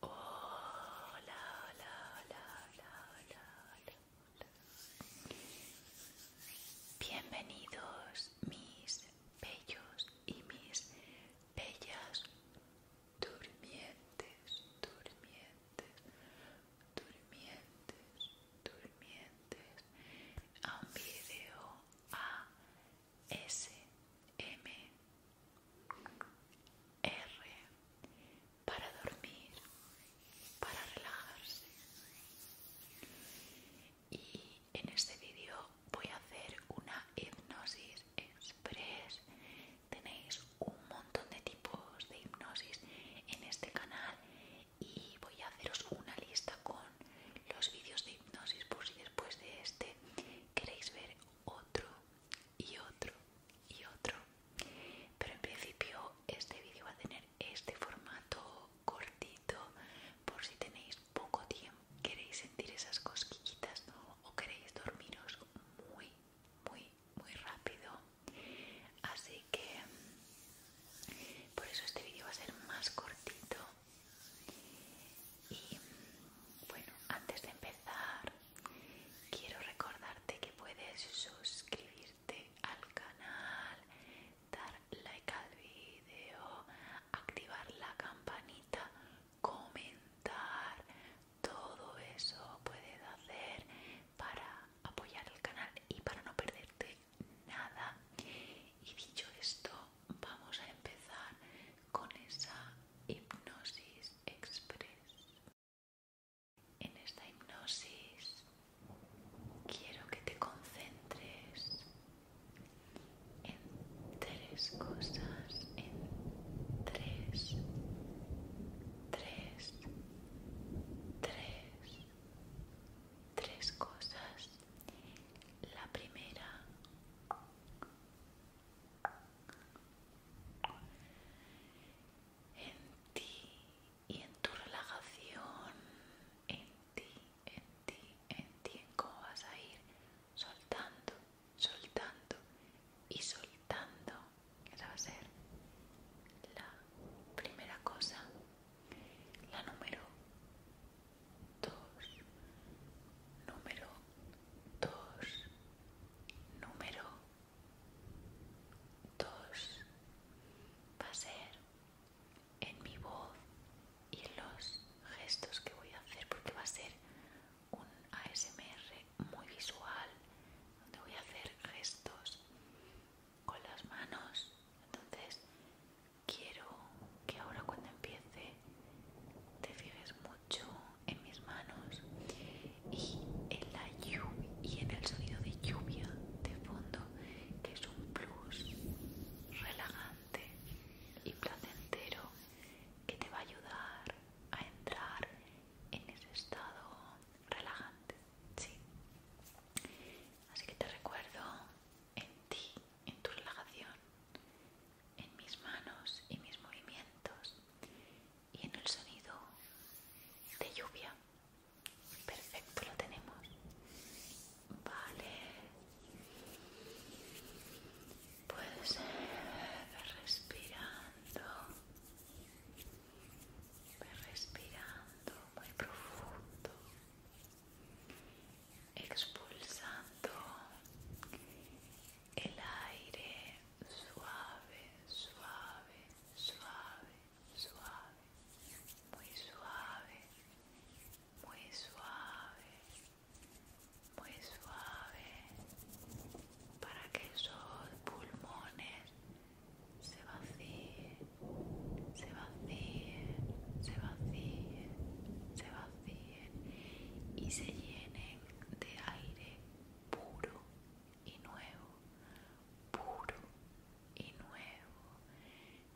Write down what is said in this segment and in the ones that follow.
Hola, la la Bienvenidos mis bellos y mis bellas durmientes, durmientes, durmientes, durmientes a un video M R para dormir, para relajarse. Y en este vídeo voy a hacer una hipnosis express. Tenéis un montón de tipos de hipnosis en este canal y voy a haceros una lista con los vídeos de hipnosis por si después de este queréis ver otro y otro y otro pero en principio este vídeo va a tener este formato cortito por si tenéis poco tiempo queréis sentir esas cosquillitas o queréis dormiros muy muy muy rápido así que por eso este vídeo va a ser más cortito y bueno, antes de empezar, quiero recordarte que puedes suscribirte al canal, dar like al vídeo, activar la campanita, comentar, todo eso puedes hacer para apoyar el canal y para no perderte nada. Y dicho esto, vamos a empezar con esa hipnosis express. En esta hipnosis quiero que te concentres en tres cosas, en tres, tres, tres, tres cosas. La primera, en ti y en tu relajación, en ti, en ti, en ti, en cómo vas a ir soltando, soltando y soltando. Esa va a ser la primera cosa. La número dos, número dos, número dos, va a ser en mi voz y en los gestos que voy a hacer, porque va a ser un ASMR muy visual, donde voy a hacer gestos con las manos. Entonces, quiero que ahora cuando empiece te fijes mucho en mis manos y en la lluvia y en el sonido de lluvia de fondo que es un plus relajante y placentero que te va a ayudar a entrar en ese estado relajante así que te recuerdo en ti en tu relajación en mis manos y mis movimientos y en el sonido de lluvia. Perfecto, lo tenemos. Vale. Pues respirando. respirando muy profundo. Expulsando el aire suave, suave, suave, suave, muy suave, muy suave, muy suave, para que esos pulmones se vacíen, se vacíen, se vacíen, se vacíen y se llenen de aire puro y nuevo, puro y nuevo.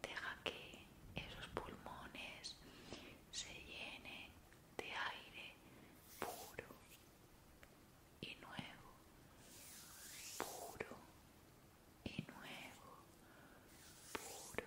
Deja que esos pulmones se llenen de aire puro y nuevo, puro y nuevo, puro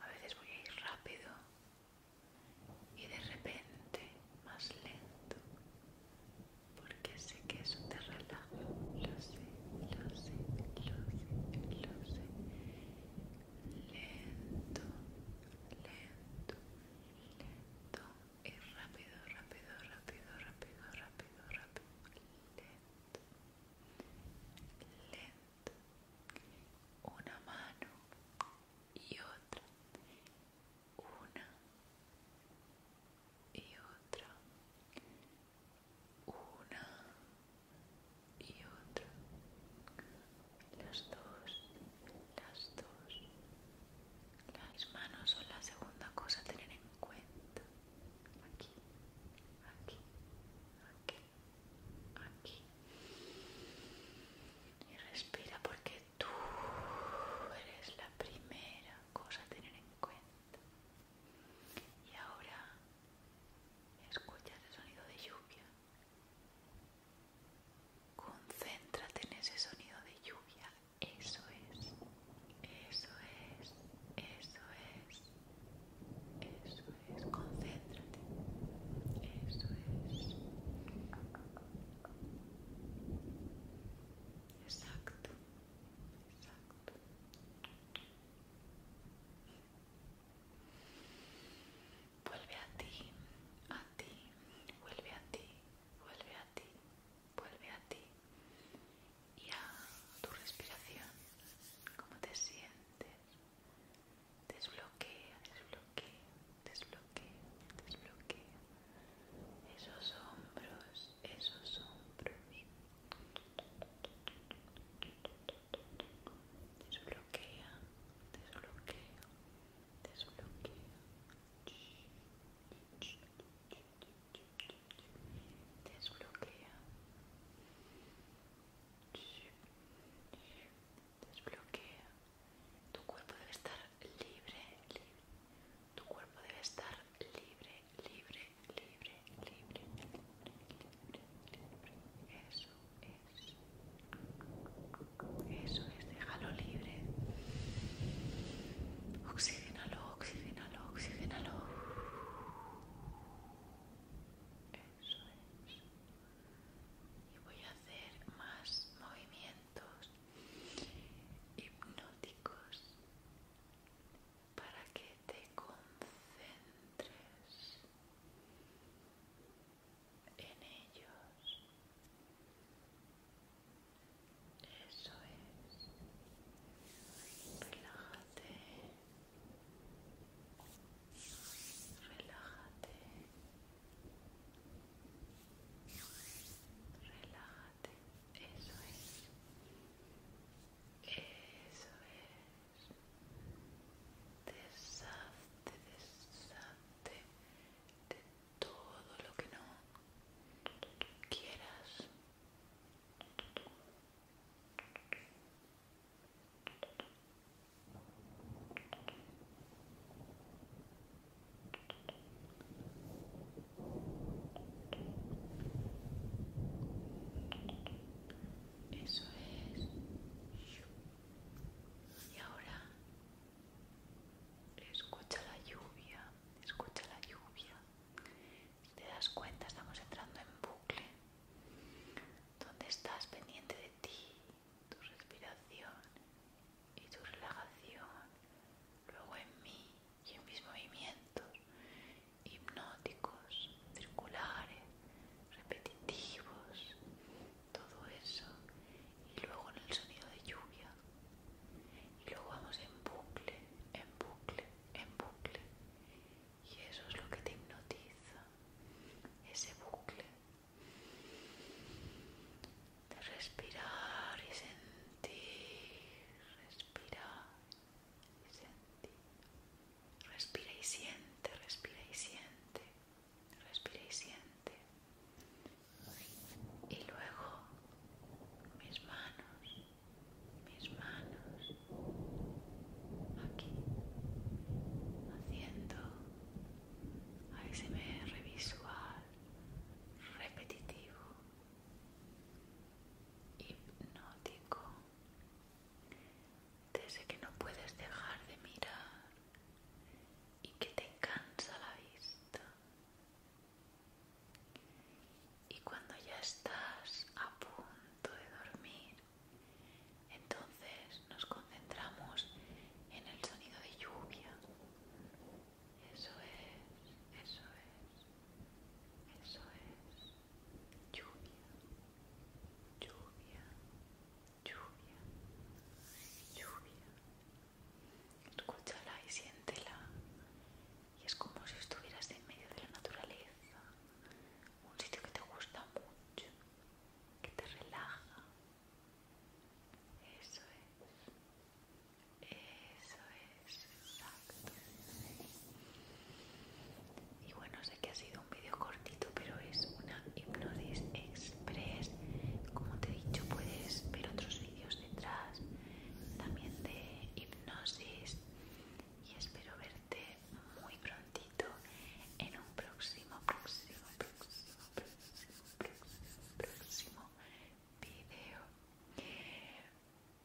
a veces voy a ir rápido y de repente más lento, porque sé que eso te relaja. Lo sé, lo sé, lo sé, lo sé. Lento, lento, lento y rápido, rápido, rápido, rápido, rápido, rápido. Lento lento una mano y otra una y otra una y otra las dos las dos las manos son la segunda cosa a tener en cuenta aquí, aquí, aquí, aquí. Y respira porque tú eres la primera cosa a tener en cuenta. Y ahora escucha ese sonido de lluvia. Concéntrate en ese sonido de lluvia. Eso es, eso es, eso es. Eso es, concéntrate. Eso es. Exacto. Exacto. Vuelve a ti, a ti, vuelve a ti, vuelve a ti, vuelve a ti y a tu respiración, cómo te sientes. Desbloquea, desbloquea, desbloquea, desbloquea esos hombros, esos hombros. Desbloquea, desbloquea, desbloquea desbloquea desbloquea tu cuerpo debe estar libre, libre tu cuerpo debe estar libre libre libre libre libre libre eso es eso es déjalo libre oxigénalo oxigénalo oxigénalo y voy a hacer más movimientos hipnóticos para que te concentres en ellos. Eso es. Relájate. Relájate. Relájate. Eso es. Eso es. Deshazte, deshazte de todo lo que no quieras. Eso es. Y ahora escucha la lluvia, escucha la lluvia te das cuenta, estamos entrando en bucle, donde estás pendiente de ti, tu respiración y tu relajación, luego en mí y en mis movimientos hipnóticos, circulares, repetitivos, todo eso, y luego en el sonido de lluvia, y luego vamos en bucle, en bucle, en bucle y eso es lo que te hipnotiza, ese bucle de respirar y sentir, respirar y sentir. Respira y siente, respira y siente, respira y siente. Y luego mis manos mis manos aquí haciendo ASMR visual repetitivo hipnótico desde que no puedes dejar de mirar y que te cansa la vista y cuando ya estás a punto de dormir, entonces nos concentramos en el sonido de lluvia. Eso es, eso es, eso es. Lluvia, lluvia, lluvia, lluvia. Escúchala y siéntela y es como si estuvieras en medio de la naturaleza, un sitio que te gusta mucho, que te relaja. Eso es, eso es, exacto. Y bueno, sé que ha sido un vídeo cortito, pero es una hipnosis express. Como te he dicho, puedes ver otros vídeos detrás, también de hipnosis y espero verte muy prontito en un próximo, próximo, próximo, próximo, próximo, próximo video.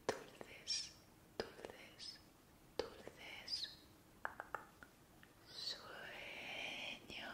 Dulces, dulces, dulces sueños.